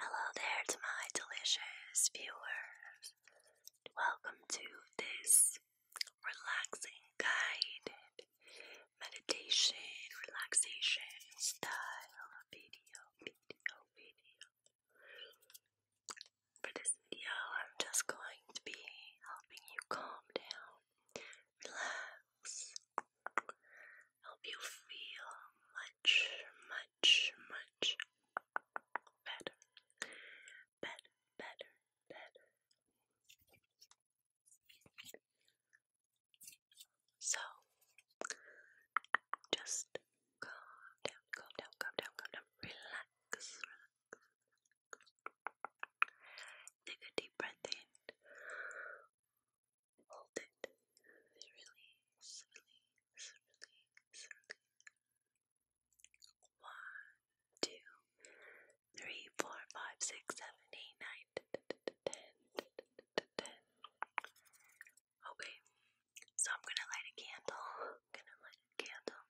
Hello there to my delicious viewers. Welcome to this relaxing guided meditation, relaxation style video, For this video, I'm just going to be helping you calm down, relax, help you feel much, much, much better, better, better, better. So, just calm down, calm down, calm down, calm down. relax. Take a deep breath in. Hold it really slowly, slowly, slowly. One, two, three, four, five, six, seven, eight, nine, ten, ten. Okay, so I'm gonna light a candle. gonna light a candle.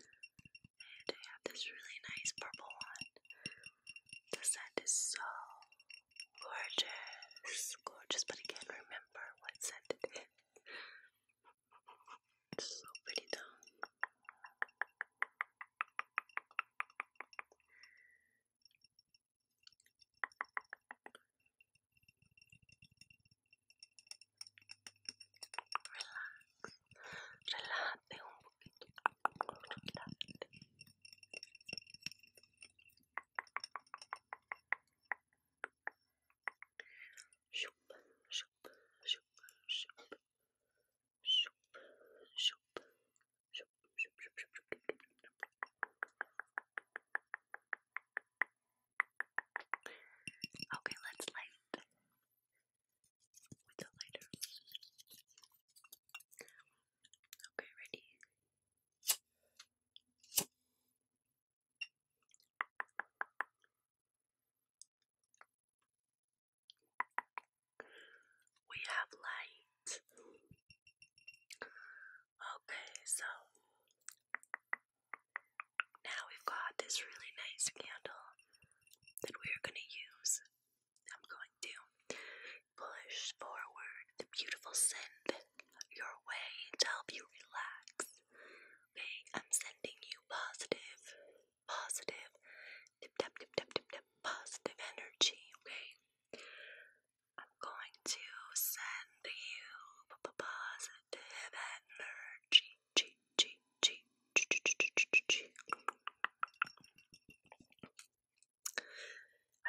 And I have this really nice purple one. The scent is so gorgeous, gorgeous, but I can't remember what scent it is. so pretty though. Relax, relájate un poquito, relájate. Shoop, shoop, shoop, shoop, shoop, shoop, shoop, shoop, shoop, shoop. Okay, let's light with the lighter. Okay, ready? We have light. Okay, so now we've got this really nice candle that we are going to use. I'm going to Push forward the beautiful scent your way to help you relax. Okay, I'm sending you positive, positive, dip, dip, dip, dip, dip, dip, positive energy. Okay, I'm going to send you positive energy. G, g, g, g, g, g, g, g.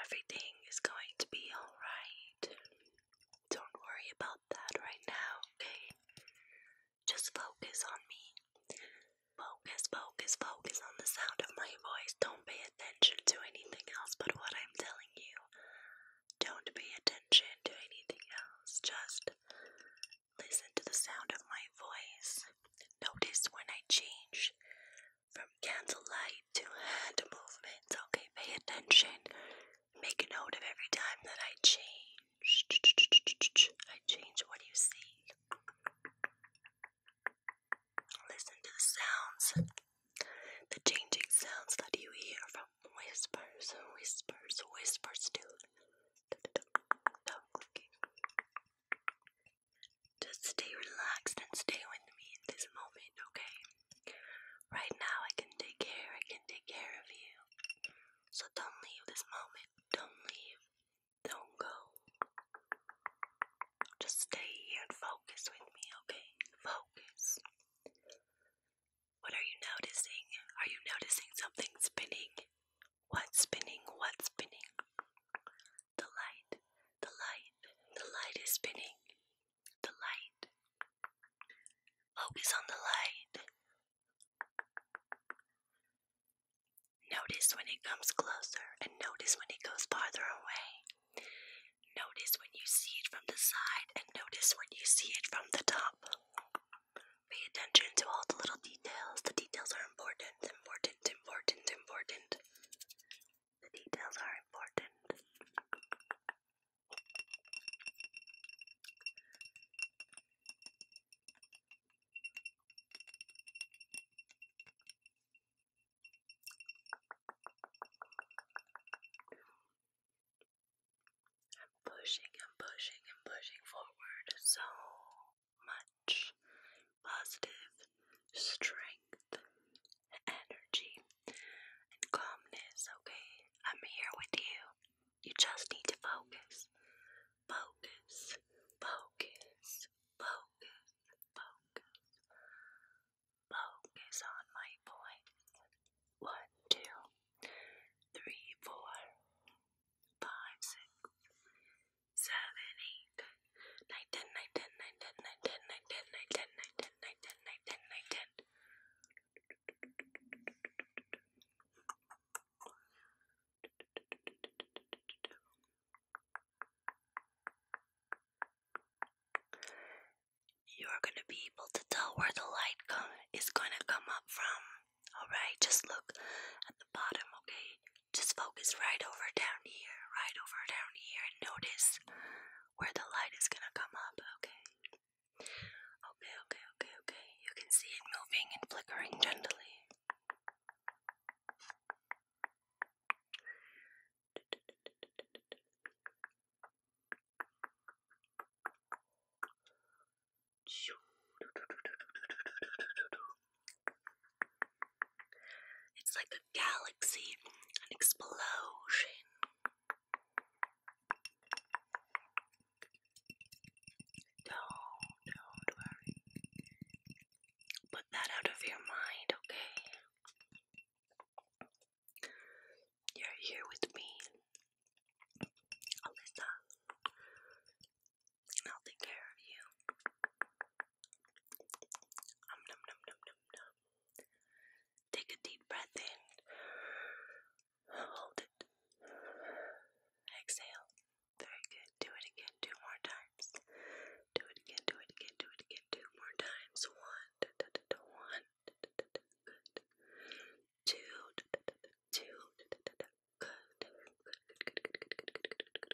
Everything is going to be alright. Don't worry about that right now, okay? Just focus on me. Focus, focus, focus on the sound of my voice. Don't pay attention to anything else but what I'm telling you. Don't pay attention to anything else. Just listen to the sound of my voice. Notice when I change from candlelight to hand movements. Okay, pay attention. Make a note of every time that I change. I change what you see. Listen to the sounds, the changing sounds that you hear from whispers, whispers, whispers to just stay relaxed and stay with me in this moment, okay? Right now, I can take care, I can take care of you. So don't leave this moment. Don't leave. Don't go. Just stay here and focus with me, okay? Focus. What are you noticing? Are you noticing something spinning? What's spinning? What's spinning? The light, the light, the light is spinning. The light. Focus on the light. Notice when it comes closer and notice when it goes farther away. Notice when you see it from the side and notice when you see it from the top. Pay attention to all the little details. The details are important, important, important, important. The details are important. I'm pushing and pushing and pushing forward so much positive strength, energy, calmness, okay? I'm here with you. You just need to focus. Focus, focus, focus, focus. Focus on my voice. One, two, three, four, five, six, seven, eight ten, nine ten, nine ten, nine ten, nine ten, nine ten, nine ten. You're going to be able to tell where the light is going to come up from. All right, just look at the bottom, okay? Just focus right over down here, right over down here, and notice where the light is gonna come up, okay? Okay, okay, okay, okay. You can see it moving and flickering gently. It's like a galaxy, an explosion. Don't, don't worry. Put that out of your mind, okay? You're here with me, Alyssa, and I'll take care of you. Take a deep breath in. Hold it. Exhale. Very good. Do it again. Two more times. Do it again. Do it again. Do it again. Two more times. One. one. good. Two. two. Good. Good. Good. Good. Good. Good. Good. Good.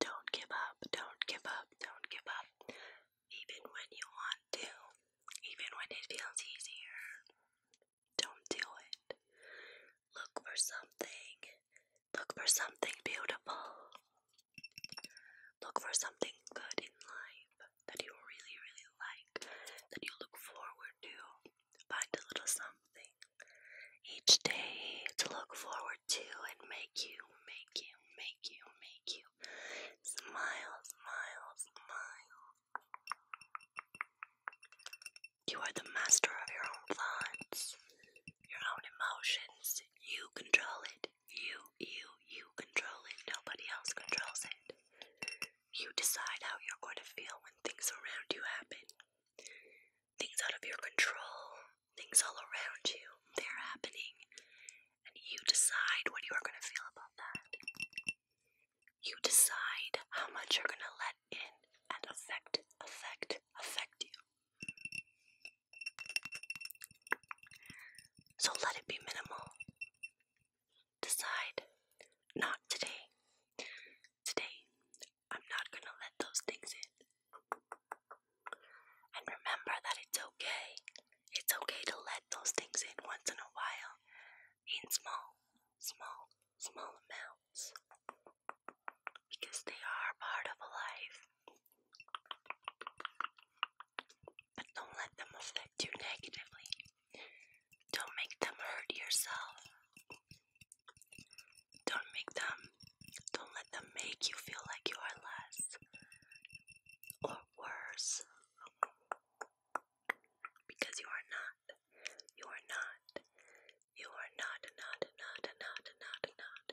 Don't give up, don't give up, don't give up. Even when you want to, even when it feels easier, don't do it. Look for something, look for something beautiful, look for something good in life that you really, really like, that you look forward to find a little something each day to look forward to and make you, make you, make you, make you smile, smile, smile. You are the master of your own thoughts, your own emotions. You control it. You, you, you control it. Nobody else controls it. You decide how you're going to feel when things around you happen things out of your control, things all around you, they're happening. And you decide what you are going to feel about that. You decide how much you're going to let in and affect, affect, affect you. So let it be minimal. Decide not today. Today, I'm not gonna let those things in. And remember that it's okay. It's okay to let those things in once in a while in small, small, small amounts because they are part of life. But don't let them affect you negatively. Don't make them hurt yourself. Don't make them, don't let them make you feel like you are less or worse because you are not. You are not. You are not, not, not, not, not, not.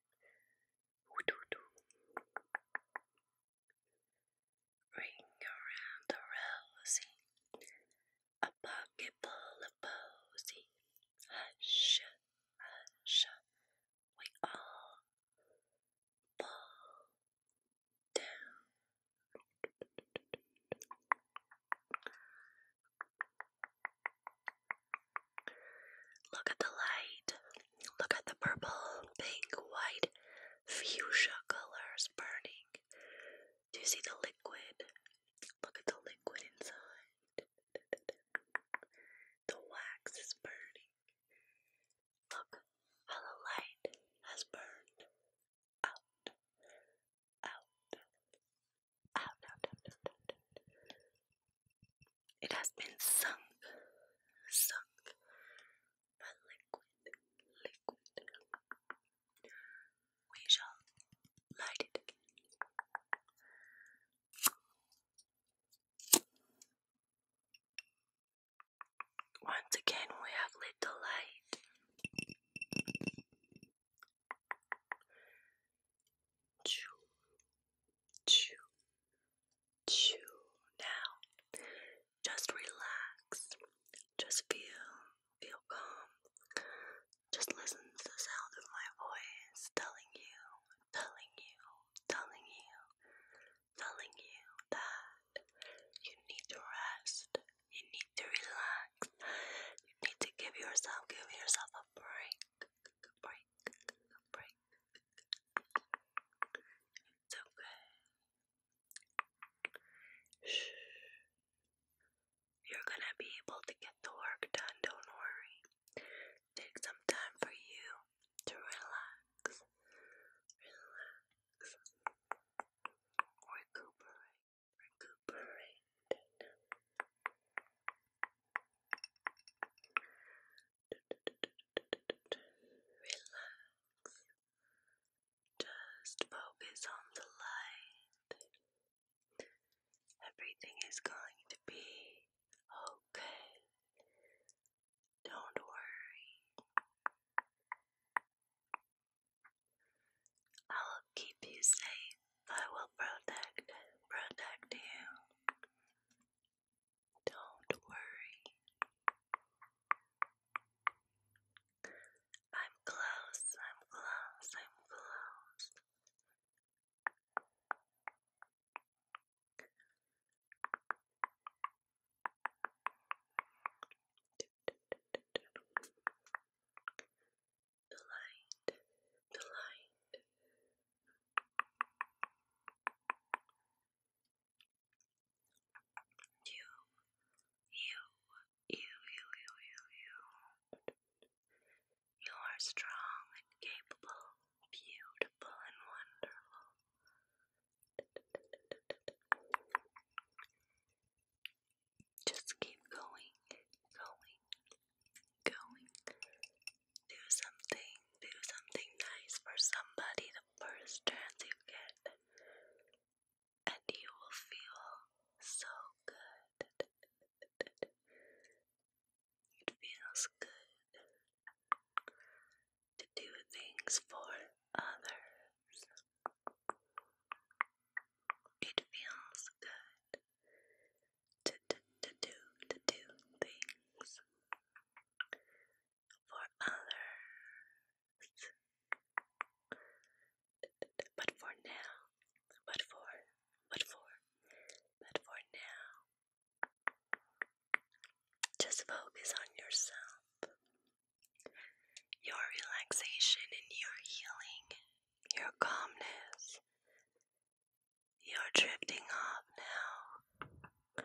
Ring around the rosy, a pocket of posy. Hush, hush, we all fall down. Look at the light. Look at the purple, pink, white, fuchsia colors burning. Do you see the liquid? Look at the liquid inside. The wax is burning. Look how the light has burned out, out, Oh, it has been sunk, sunk by liquid, liquid. We shall light it again. Once again, we have lit the light chew, chew, chew. Now, just relax. Just feel, feel calm. Just listen to the sound of my voice telling you, telling you, telling you, telling you that you need to rest. You need to relax. You need to give yourself, give yourself a break, break, it's okay. You're gonna be able to get the work done, don't worry. Take some time for you to relax. Relax. Recuperate. Recuperate. Relax. Just focus on the light. Everything is going to be okay. Don't worry. I'll keep you safe. I will protect, protect you. Don't worry. I'm close, I'm close, I'm close. The light the light. You, you, you, you, you, you, you. You are strong and capable, beautiful and wonderful. Just keep going, going, going. Do something, do something nice for somebody the first chance you get, and you will feel so good. It feels good to do things for others. It feels good to, to, to do to do things for others. But for now, but for, but for, but for now, just focus on yourself, your relaxation and your healing, your calmness, you're drifting off now.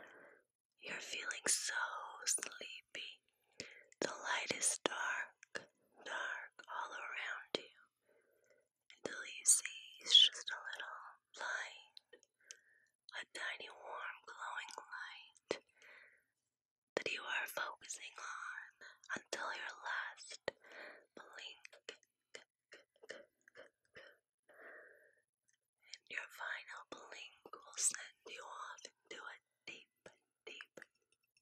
You're feeling so sleepy. The light is dark, dark all around you until you see it's just a little light, a tiny warm glowing light that you are focusing on until your last blink. And your final blink will send you off into a deep, deep,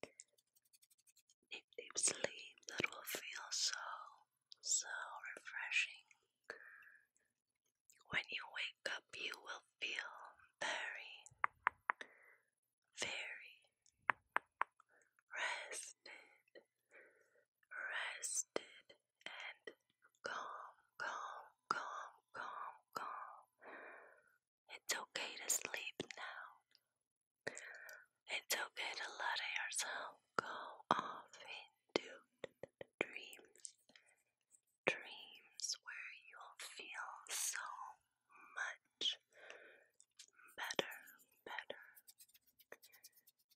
deep, deep sleep that will feel so, so refreshing. When you wake up, you will feel very, very rested, rested, and calm, calm, calm, calm, calm. It's okay to sleep now. It's okay to let yourself go off into dreams. Dreams where you'll feel so much better, better